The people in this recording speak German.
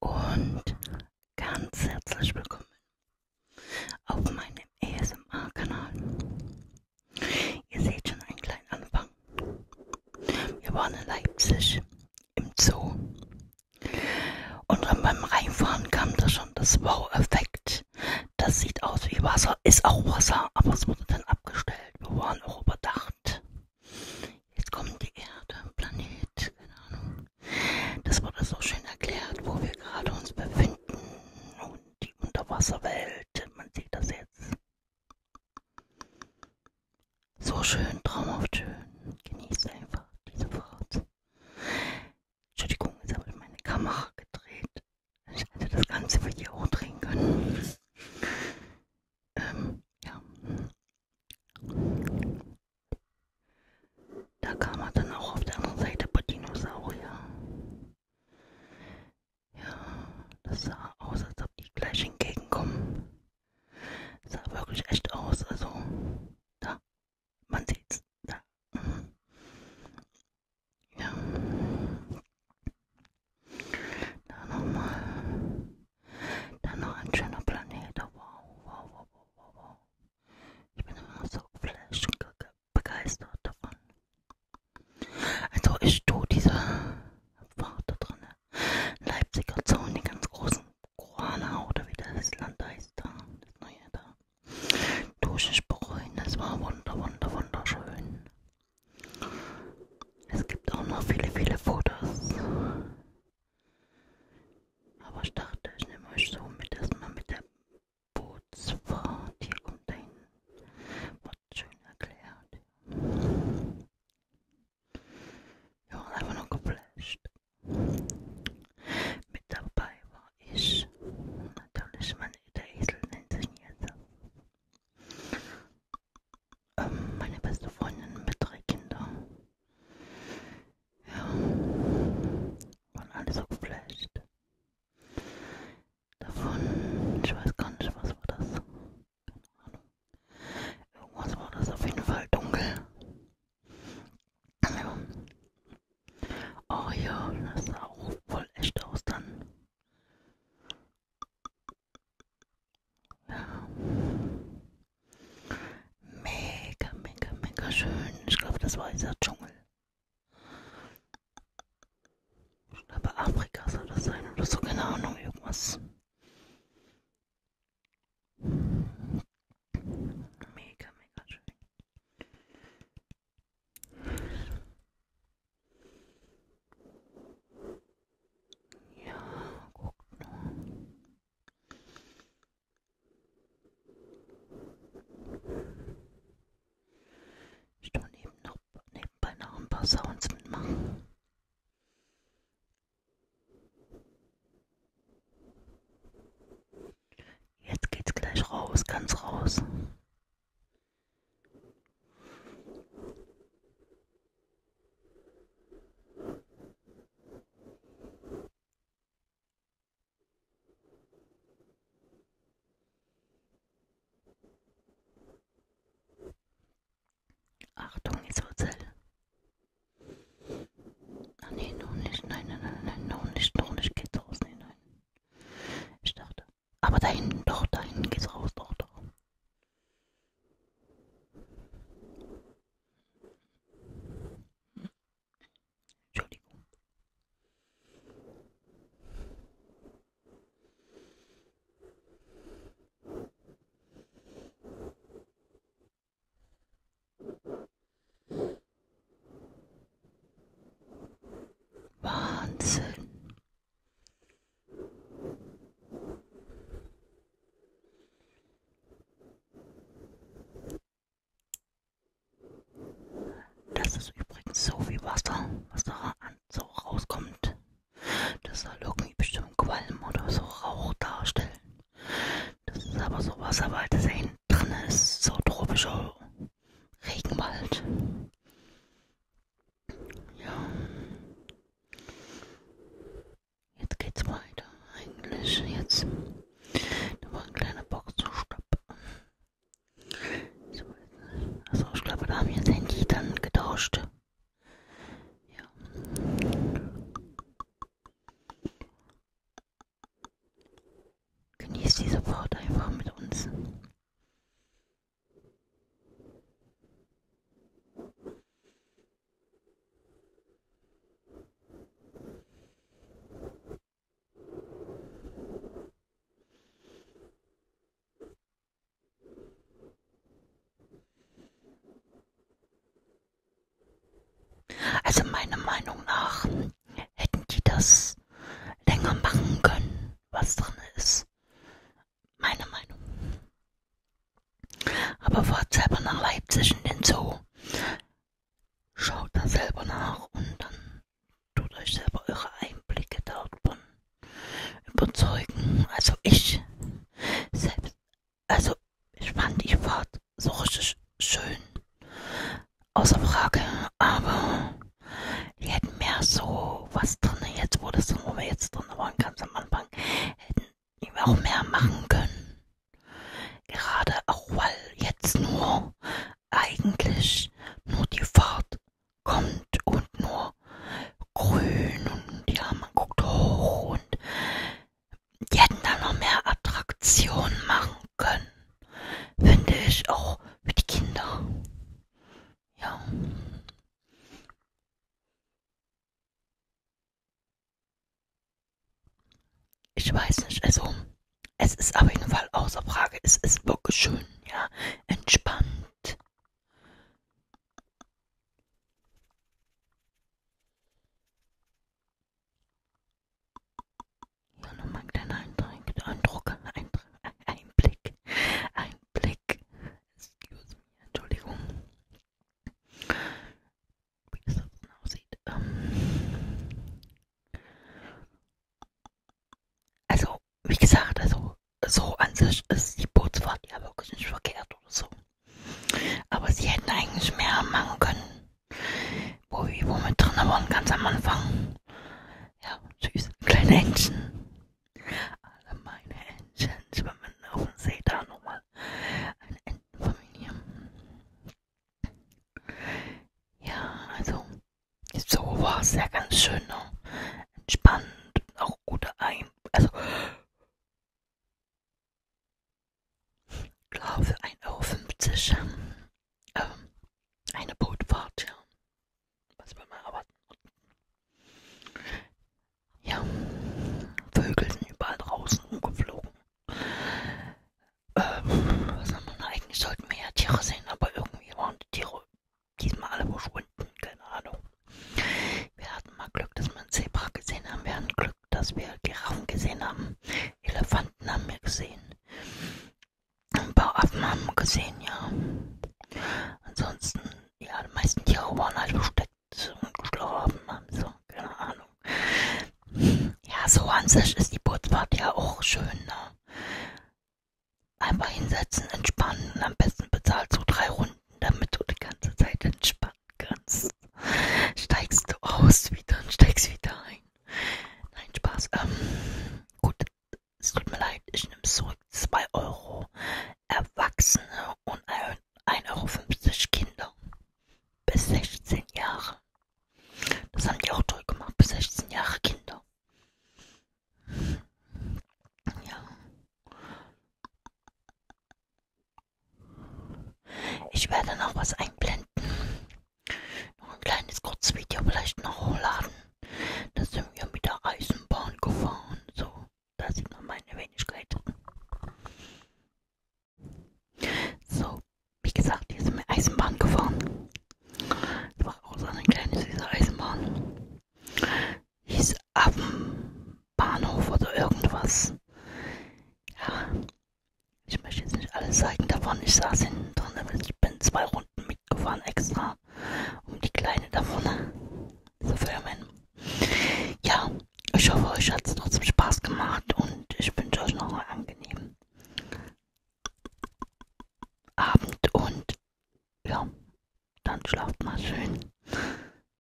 und ganz herzlich willkommen auf meinem ASMR-Kanal. Ihr seht schon einen kleinen Anfang. Wir waren in Leipzig im Zoo und dann beim Reinfahren kam da schon das Wow-Effekt. Das sieht aus wie Wasser, ist auch Wasser, aber es wurde dann abgestellt. Wir waren auch überdacht. Jetzt kommt die Erde, Planet, keine Ahnung. Das wurde so schön erklärt, wo wir gerade uns befinden und die Unterwasserwelt. Man sieht das jetzt. So schön, traumhaft schön. Genießt einfach diese Fahrt. Entschuldigung, jetzt habe ich meine Kamera gedreht. Ich hätte das ganze Video auch drehen können. Ähm, ja. Da kam er dann auch auf der anderen Seite bei Dinosaurier. Ja, das sah aus, als ob die gleich entgegenkommen. Das sah wirklich echt aus, also da, man sieht's, da. Mhm. Ja. Da nochmal. Dann noch ein schöner Planet. Wow, wow, wow, wow, wow. Ich bin immer so geflasht und begeistert davon. Also ich tue diese Fahrt da drin. Leipziger Zaun, den ganz großen Korana oder wie das Land heißt da. Das neue da. Tue ich bereuen. Das war wunder, wunder, wunderschön. Es gibt auch noch viele, viele Fotos. Aber ich dachte, ich nehme euch so mit erstmal mit der Bootsfahrt. Hier kommt dahin. Wird schön erklärt. Ja, einfach noch geflasht. Mit dabei war ich. Natürlich, mein, der Esel nennt sich jetzt ähm, meine beste Freundin mit drei Kindern. Ja, waren alle so geflasht. Davon, ich weiß gar nicht, was war das. Keine Ahnung. Irgendwas war das auf jeden Fall dunkel. Ja. Oh ja, das sah auch voll echt aus dann. Mega, mega, mega schön. Ich glaube, das war dieser Dschungel. Ich glaube, Afrika soll das sein oder so, keine Ahnung, irgendwas. Mega, mega schön. Ja, guck nur. Ich kann eben noch nebenbei noch ein paar Sounds mitmachen. Jetzt geht's gleich raus, ganz raus. Achtung, jetzt wird's hell. Ah, nee, noch nicht. Nein, nein, nein, nein, noch nicht, noch nicht. Geht raus. Nee, nein. Ich dachte. Aber da hinten, doch, da hinten geht's raus, doch, doch. Entschuldigung. Wahnsinn. Das ist übrigens so wie Wasser, was da so rauskommt. Das soll irgendwie bestimmt Qualm oder so Rauch darstellen. Das ist aber so Wasser, weil das da hinten drin ist, so tropischer Regenwald. Ja. Jetzt geht's weiter. Eigentlich jetzt. Da war ein kleiner Boxenstopp. Also ich glaube, da haben wir das Handy dann getauscht. Ja. Genießt diese Fahrt einfach mit uns. Also meiner Meinung nach hätten die das das länger machen können, was drin ist. Meine Meinung. Aber fahrt selber nach Leipzig in den Zoo. Schaut da selber nach und dann tut euch selber eure Einblicke davon überzeugen. Also ich selbst, also ich fand die Fahrt so richtig schön außer Frage, aber die hätten mehr so was drin, jetzt wo das drin, wo wir jetzt drin waren, ganz am Anfang, hätten die auch mehr machen können. Gerade auch, weil jetzt nur eigentlich nur die Fahrt kommt und nur grün und ja, man guckt hoch und die hätten da noch mehr Attraktionen machen können finde ich auch mit Kindern. Ja. Ich weiß nicht, also es ist auf jeden Fall außer Frage. Es ist wirklich schön, ja, entspannt. So, nochmal ein kleiner Eindruck, Eindruck, Einblick, Einblick. Excuse me, Entschuldigung. Wie es das dann aussieht. Ähm. Also, wie gesagt, also so an sich ist die Bootsfahrt ja wirklich nicht verkehrt oder so. Aber sie hätten eigentlich mehr machen können. Wo wir mit drin waren, ganz am Anfang. Ja, süß. Kleine Händchen. Alle meine Händchen schwimmen auf dem See. Da nochmal eine Entenfamilie. Ja, also, so war es ja ganz schön. Ne? Entspannt und auch gute Ein... Also, glaube, 1,50 Euro ähm, eine Bootfahrt, ja. Was will man erwarten? Ja, Vögel sind überall draußen umgeflogen. Ähm, was haben wir eigentlich? Sollten wir ja Tiere sehen, aber irgendwie waren die Tiere diesmal alle verschwunden, keine Ahnung. Wir hatten mal Glück, dass wir einen Zebra gesehen haben. Wir hatten Glück, dass wir Giraffen gesehen haben. Elefanten haben wir gesehen. Ein paar Affen haben wir gesehen, ja. Ansonsten, ja, die meisten Tiere waren halt versteckt und geschlafen haben, so, also, keine Ahnung. Ja, so an sich ist die Bootsfahrt ja auch schön, ne? Einfach hinsetzen, entspannen und am besten bezahlt so drei Runden, damit du die ganze Zeit entspannst kannst, steigst du aus wieder und steigst wieder ein. Nein, Spaß. Ähm, gut, es tut mir leid, ich nehme zurück 2 Euro Erwachsene und 1,50 Euro Kinder bis 16 Jahre. Das haben die auch toll gemacht, bis 16 Jahre Kinder. Ja. Ich werde noch was einblenden. Noch ein kleines Kurzvideo vielleicht noch hochladen. Da sind wir mit der Eisenbahn gefahren. So, da sieht man meine Wenigkeit. So, wie gesagt, hier sind wir Eisenbahn gefahren. Das war auch so eine kleine süße Eisenbahn. Hieß Affen. Bahnhof oder irgendwas. Ja, ich möchte jetzt nicht alles zeigen davon. Ich saß hinten drin, ich bin zwei Runden mitgefahren extra, um die Kleine davon zu filmen. Ja, ich hoffe, euch hat es trotzdem Spaß gemacht und ich wünsche euch noch einen angenehmen Abend und ja, dann schlaft mal schön.